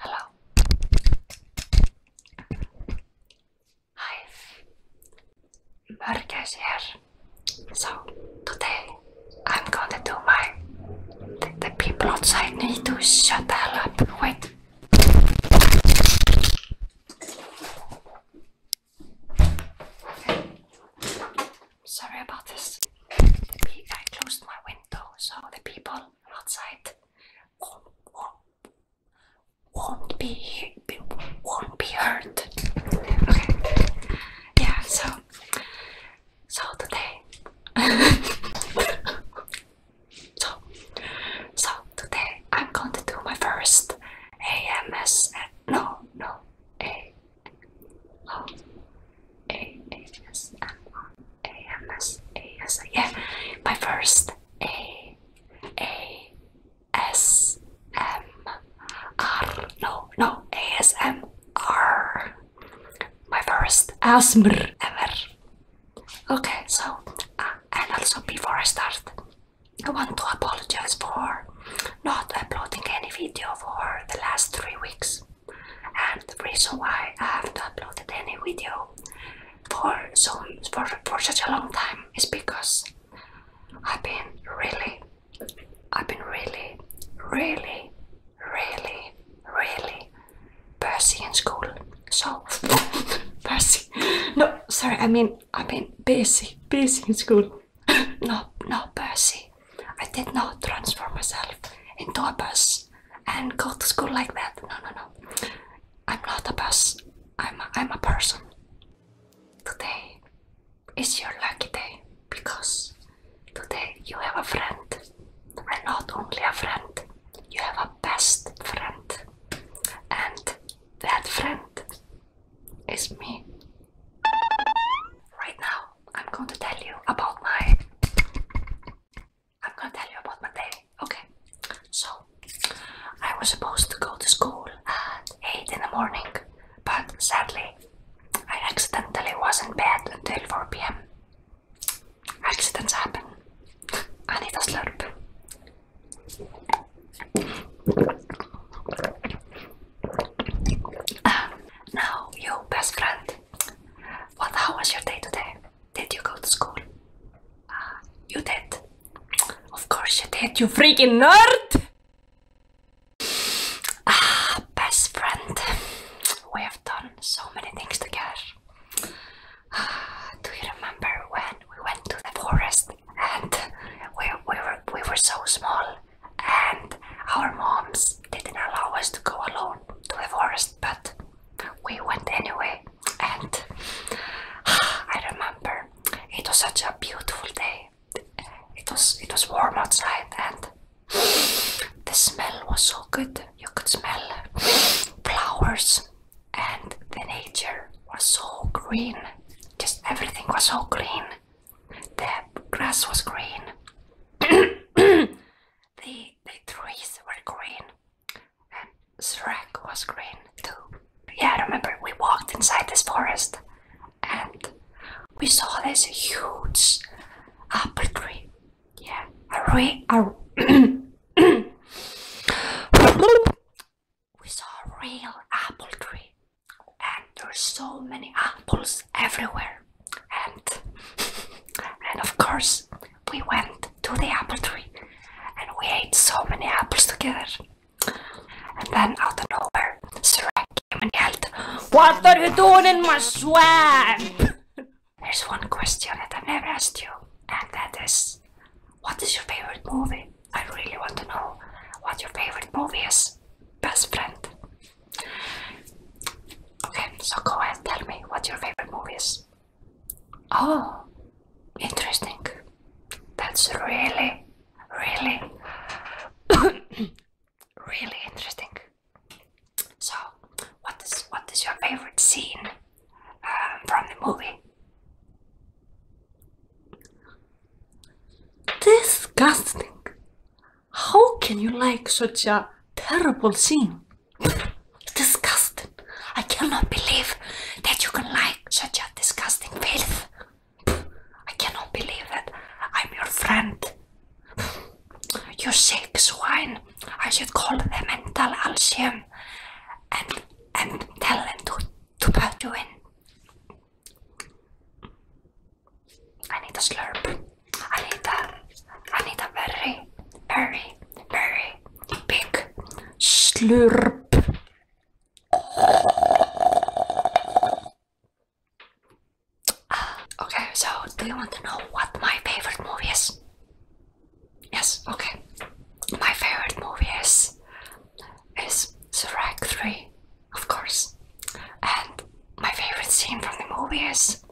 Hello. Hi. Mörkers here. So today I'm going to do my. The, the people outside need to shut the hell up. Wait. Sorry about this. I closed my window so the people outside won't, will won't be, be won't be heard. Okay. Yeah. So so today. so so today I'm going to do my first AMS. No, no, A. Oh, A A S M A M S A S. Yeah, my first A A S M R. No, no, A S M R. My first ASMR ever. Okay, so uh, and also before I start, I want to apologize for not uploading any video for the last three weeks. And the reason why I haven't uploaded any video for so for, for such a long time is because I've been really, I've been really, really, really, really Percy in school. So Percy, no, sorry, I mean I mean Percy. Percy in school. no, no, Percy. I did not transform myself into a bus and go to school like that. No, no, no. I'm not a bus. I'm a, I'm a person. Today is your lucky day because today you have a friend, and not only a friend, you have a best friend, and that friend. It's me. Right now, I'm going to tell you about my. I'm going to tell you about my day. Okay. So, I was supposed to go to school at eight in the morning, but sadly, I accidentally was in bed until four p.m. Accidents happen. I need a slurp. Ah, now, you best friend. What? How was your day today? Did you go to school? Uh, you did. Of course you did. You freaking nerd! Ah, best friend. We have done so many things together. Do you remember when we went to the forest and we, we, were, we were so small and our moms didn't allow us to go alone to the forest but we went anyway and I remember it was such a beautiful day. It was it was warm outside and the smell was so good. You could smell flowers and the nature was so green. Just everything was so green. The grass was green. the, the trees were green. And Shrek was green too. Yeah, I remember we walked inside this forest and we saw this huge apple tree. Yeah, a, re- we saw a real apple tree and there's so many apples everywhere and and of course we went to the apple tree and we ate so many apples together and then out of nowhere Shrek came and yelled What are you doing in my swamp? There's one question that i never asked you and that is what is your favorite movie? I really want to know what your favorite movie is. Best friend. Okay, so go ahead and tell me what your favorite movie is. Oh, interesting. That's really, really, really interesting. So, what is what is your favorite scene from the movie. Disgusting! How can you like such a terrible scene? disgusting! I cannot believe that you can like such a disgusting filth. I cannot believe that I'm your friend. You sick swine! I should call the mental alchem and and tell them to to bow you in. I need a slurp. I need a I need a very, very, very big slurp. Ah, okay, so do you want to know what my favorite movie is? Yes, okay. My favorite movie is is Shrek 3, of course. And my favorite scene from the movie is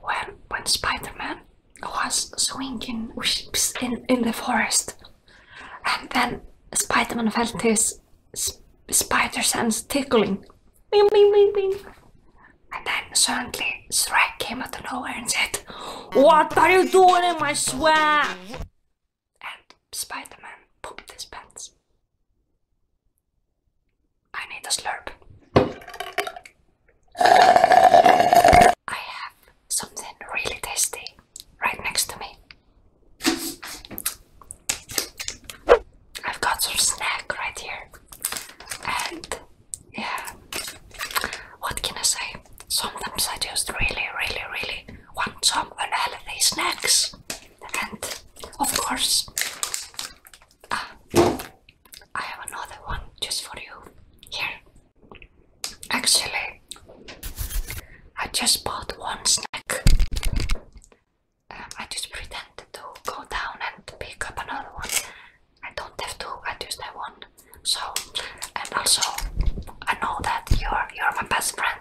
when when Spider-Man was swinging in, in the forest and then Spider-Man felt his sp spider sense tickling. Bing, bing, bing, bing. And then suddenly suddenly, came out of nowhere and said, What are you doing in my swamp? And Spider-Man pooped his pants. I need a slurp. I have something really tasty right next to me. I've got some snack right here yeah. What can I say? Sometimes I just really, really, really want some unhealthy snacks. And of course, ah, I have another one just for you. Here. Actually, I just bought one snack. Um, I just pretended to go down and pick up another one. I don't have to understand one. So, and also, I know that you're you're my best friend,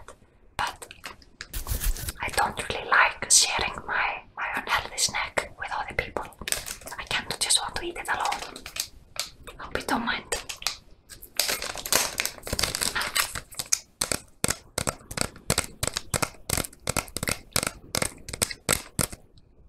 but I don't really like sharing my my unhealthy snack with other people. I kind of just want to eat it alone. Hope you don't mind.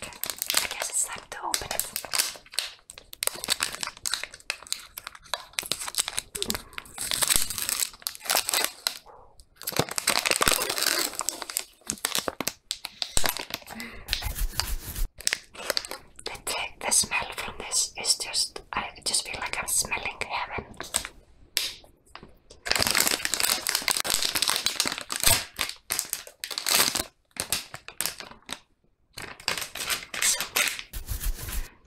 I guess it's time to open it. the smell from this is just, I just feel like I'm smelling heaven.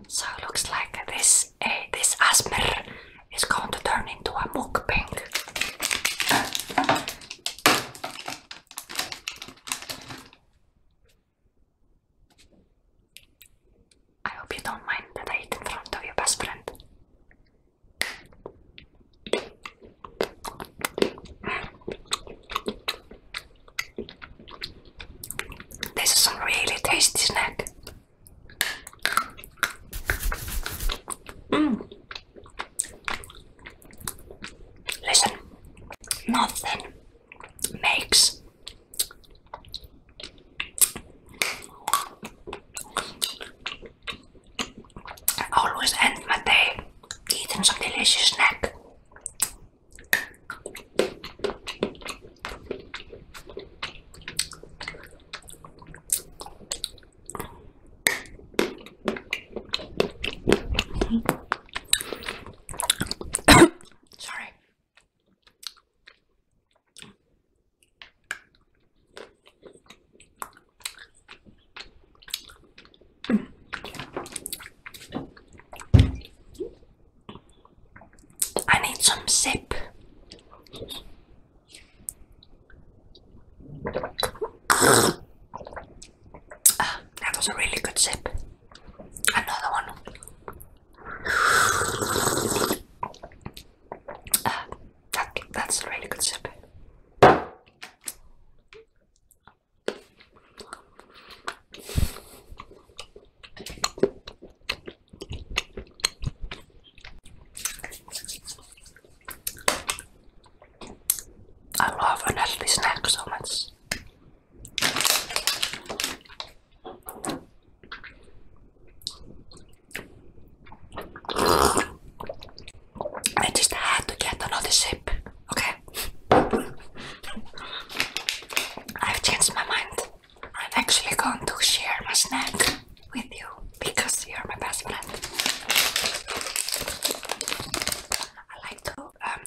So looks like this uh, this asmer is going to turn into a mukbang. I hope you don't mind that I eat in front of your best friend. This is a really tasty snack. Mm. Listen, nothing makes I always end my day eating some delicious snack. Sorry. I need some sip. Ah, that was a really good sip. Another one that's a really good sip. I love unhealthy snacks so I just had to get another sip, okay? I've changed my mind. I'm actually going to share my snack with you because you're my best friend. I like to um,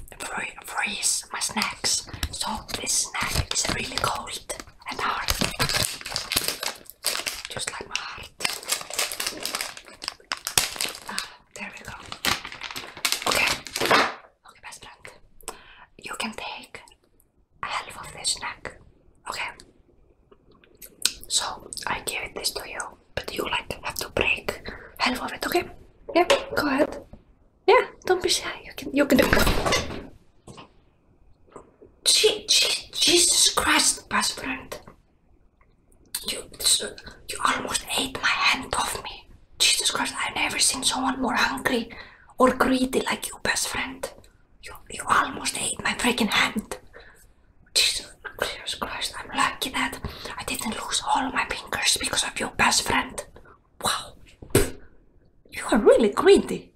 freeze my snacks, so this snack is really cold and hard just like my heart. Ah, there we go. Okay, okay, best friend. You can take half of this snack. Okay. So I give this to you, but you like have to break half of it. Okay? Yeah. Go ahead. Yeah. Don't be shy. You can. You can do. it. Je- Jesus Christ, best friend. You, you almost ate my hand off me. Jesus Christ, I've never seen someone more hungry or greedy like you, best friend. You, you almost ate my freaking hand. Jesus Christ, I'm lucky that I didn't lose all my fingers because of your best friend. Wow. You are really greedy.